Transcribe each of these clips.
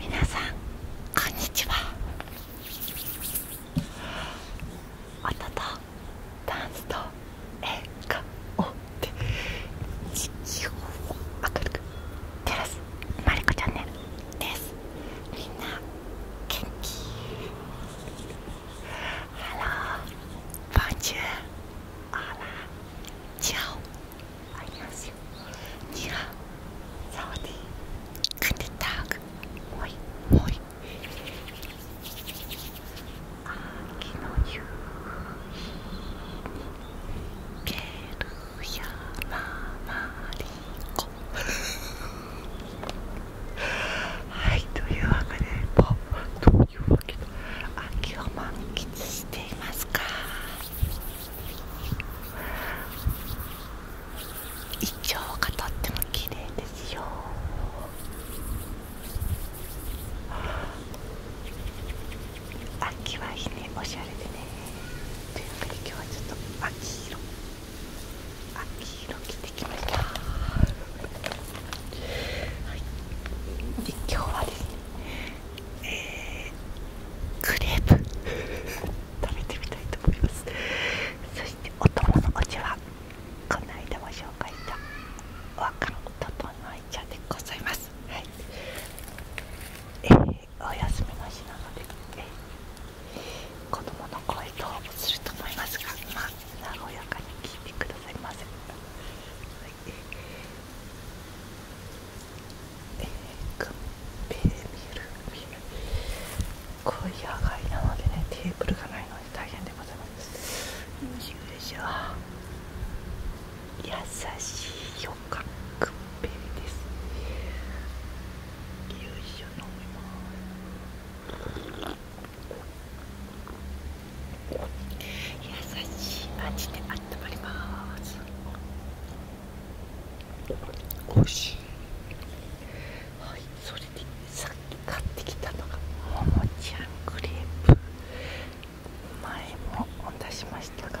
皆さんこんにちは音とダンスと映画をて明るく照らすマリコチャンネルですみんな元気 Hello Bonjour Hola Ciao Annyeonghaseyo Niha Saudi Good Tag Moi Moi 秋の夕日に蹴る山まりこはいというわけであどういうわけだ秋を満喫していますかイチョウがとっても綺麗ですよ秋はいいねおしゃれでねというわけで今日はちょっと秋色秋色着てきました、はい、で今日はですねえクレープ食べてみたいと思いますそしてお供のお茶はこの間も紹介した和漢ととのい茶でございますはいお休みの日なので、えー、子供の声とすると思いますが、まあ、和やかに聞いてくださいませ。はいえい野外なのでねテーブルがないので大変でございます優しいよカクペリですいしす優しい味であったまりますおいしいはいそれでさっき買ってきたのがももちゃんクレープ前も出しましたが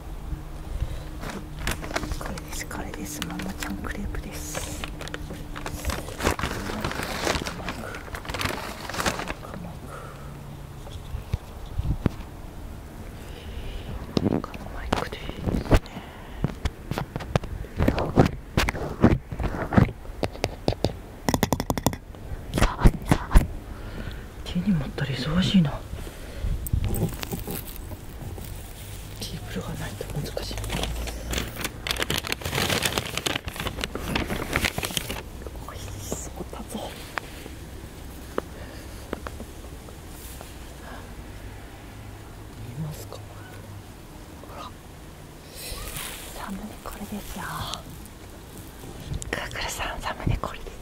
これですこれですママちゃんクレープです手に持ったら忙しいなケーブルがないと難しいおいしそうだぞ見えますかほらサムネこれですよクークルさんサムネこれです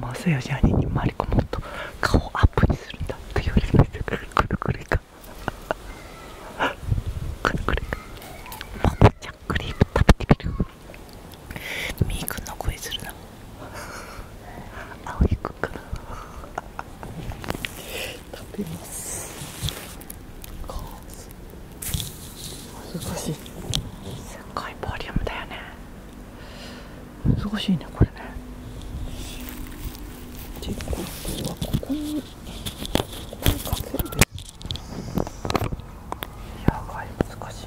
まずやシャニーに回り込もうと顔アップにするんだって言われましたからくるくるかくるくるかママちゃクリーム食べてみるみーくんの声するなあ、青いくんかな食べます難しいすごいボリュームだよね難しいねこれねってことはここにここにかけるですやばい難しい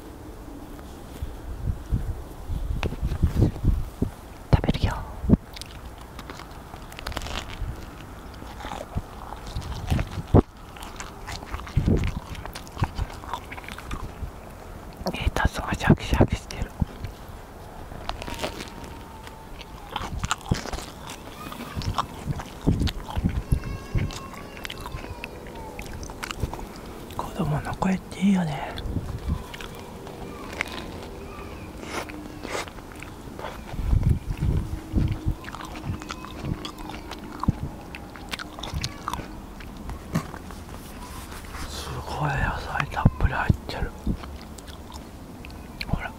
食べるよえ、たすがシャキシャキしてる子供の声帰よねすごい野菜たっぷり入ってるほら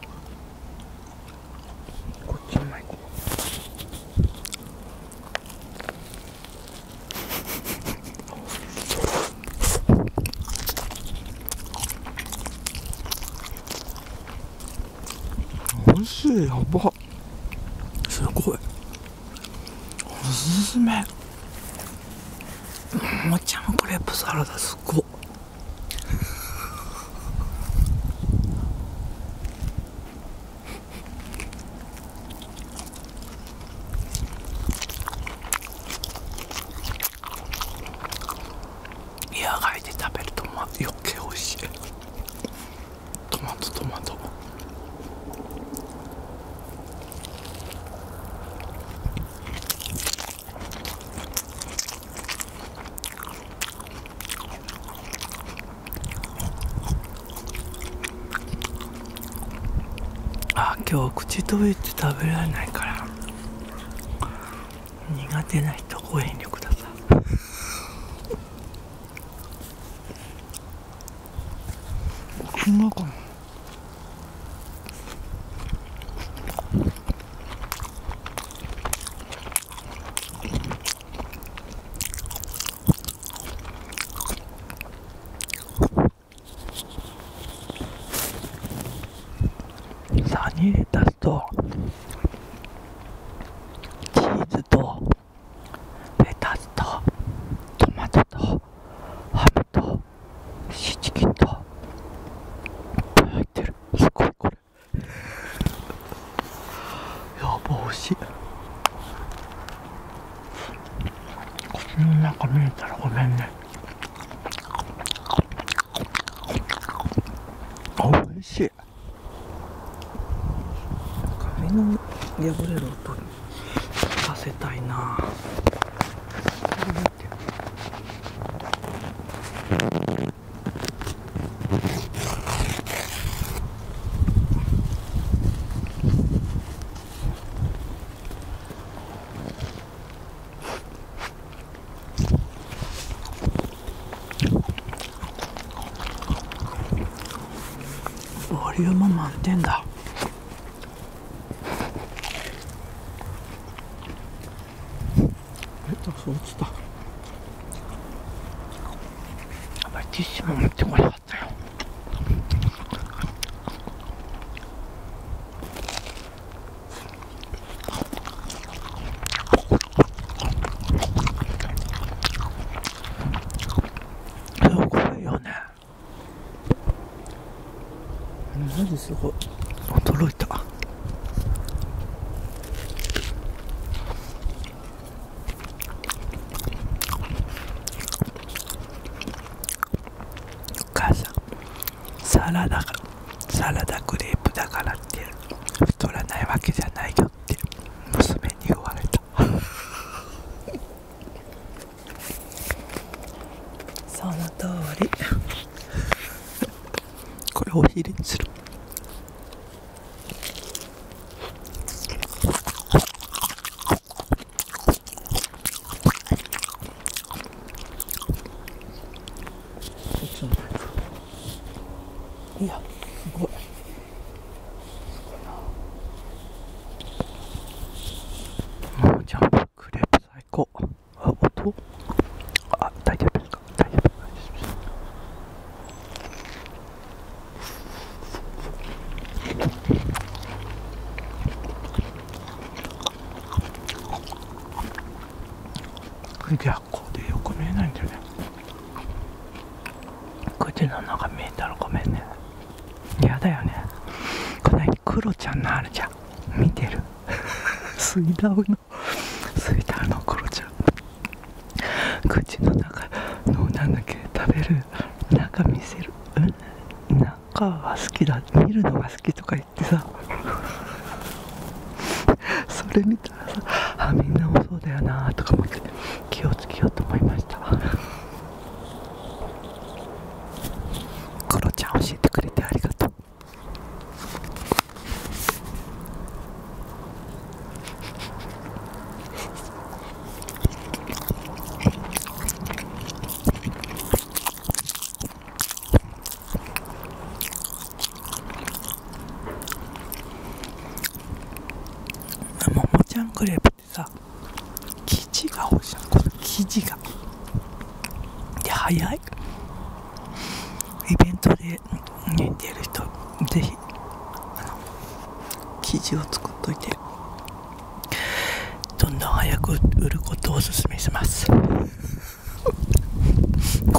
こっちもいこうおいしいやばすごいおすすめももちゃんクレープサラダすごい野外て食べると余計おいしいトマトトマトあ今日口閉じて食べられないから苦手な人ご遠慮くださいこんなかなサニーレタスとチーズとレタスとトマトとハムとシチキンと入ってるすごいこれやば美味しい口の中見えたらごめんね美味しい髪の破れる音聞かせたいな見てる。ボリューム満点だレタス落ちたあティッシュも持ってこなかったよすごい驚いたお母さんサラダサラダグレープだからって太らないわけじゃないよって娘に言われた その通りこれお昼にするいやすごい。もうジャンプクレープ最高あ音これでよく見えないんだよねこっちの中見えたらごめんねやだよねこないクロちゃんのあるじゃん見てる水道のすいたのコロちゃん口の中のなんだっけ食べる中見せる中は好きだ見るのが好きとか言ってさ それ見たらさあみんなもそうだよなとか思って気をつけようと思いましたコロちゃん教えてくれてありがとうももちゃんクレープってさ生地が欲しいこの生地がいや、早いイベントでで寝てる人ぜひ生地を作っといてどんどん早く売ることをおすすめしますこ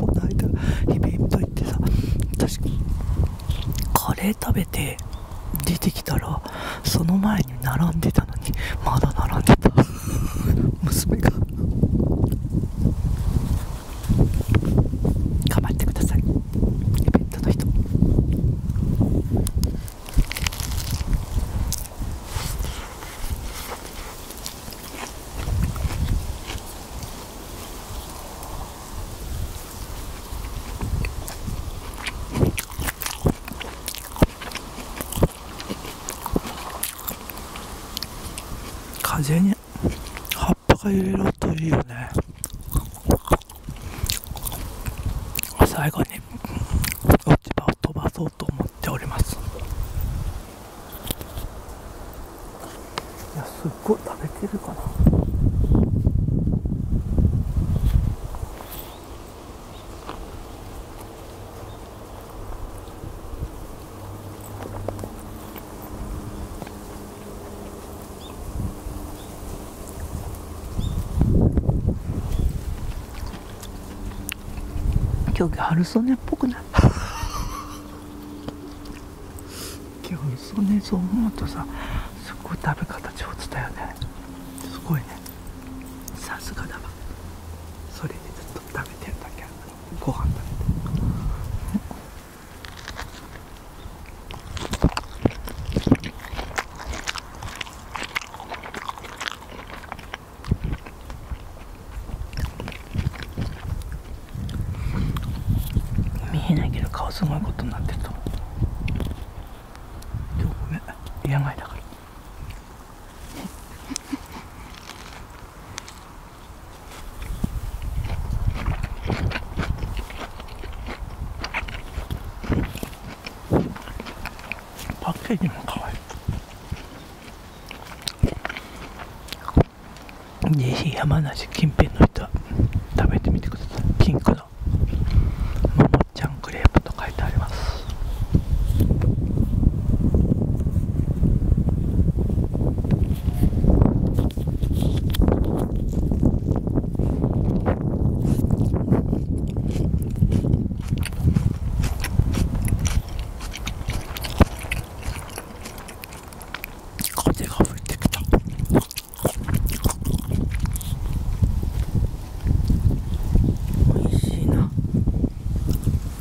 の間イベント行ってさ確かに。カレー食べて出てきたらその前に並んでたのにまだ並んでた娘が頑張ってくださいイベントの人風に葉っぱが揺れるといいよね最後に落ち葉を飛ばそうと思っておりますいやすっごい食べてるかな今日ギャル曽根っぽくない ギ今日、曽根そう思うとさすごい食べ方上ちたよねすごいねさすがだわそれでずっと食べてんだけど。るご飯食べて。見えないけど顔すごいことになってると思うごめん病だからパッケージも可愛いぜひ山梨近辺の人は食べてみてくださいピンクのもちゃんクレープ書いてあります風が吹いてきた。おいしいな。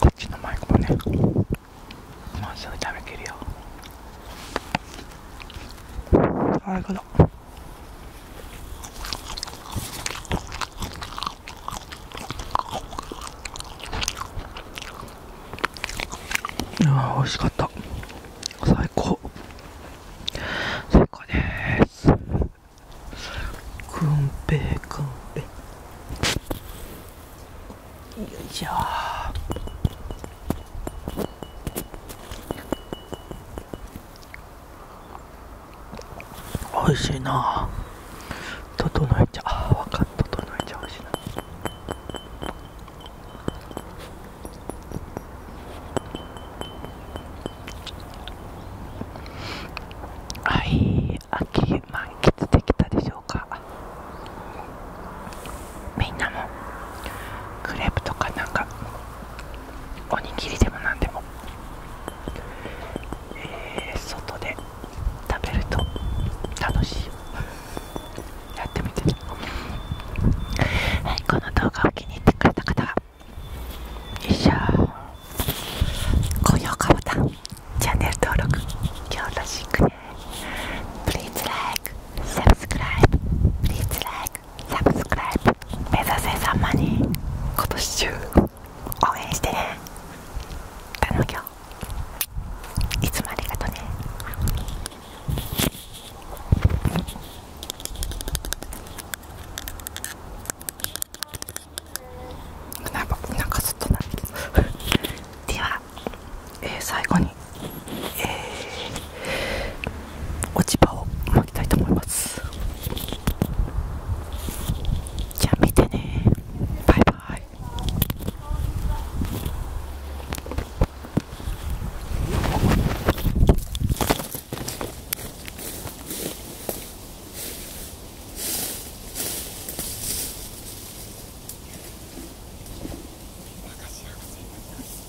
こっちのマイクもねもうすぐ食べきるようわ、美味しかった最高最高ですくんぺくんよいしょ美味しいな整えちゃあわかん整えちゃう、美味しいなはい秋満喫できたでしょうかみんなもクレープとかなんかおにぎりでもなんでもえ外で食べると楽しいやってみてねはいこの動画を気に入ってくれた方はよいしょ高評価ボタンチャンネル登録よろしくね Please like s u b s c r i リ e p サブスクライブ目指せ様に今年中応援してね頼むよいつもありがとねなんかなんかずっとなってでは、えー、最後にえー落ち葉を巻きたいと思いますじゃあ見てねバイバイ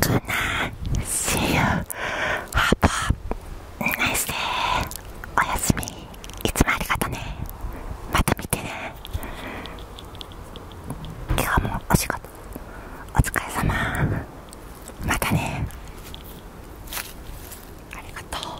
Good night. See you. Have a nice d a おやすみ。いつもありがとね。また見てね。今日もお仕事。お疲れ様。またね。ありがとう。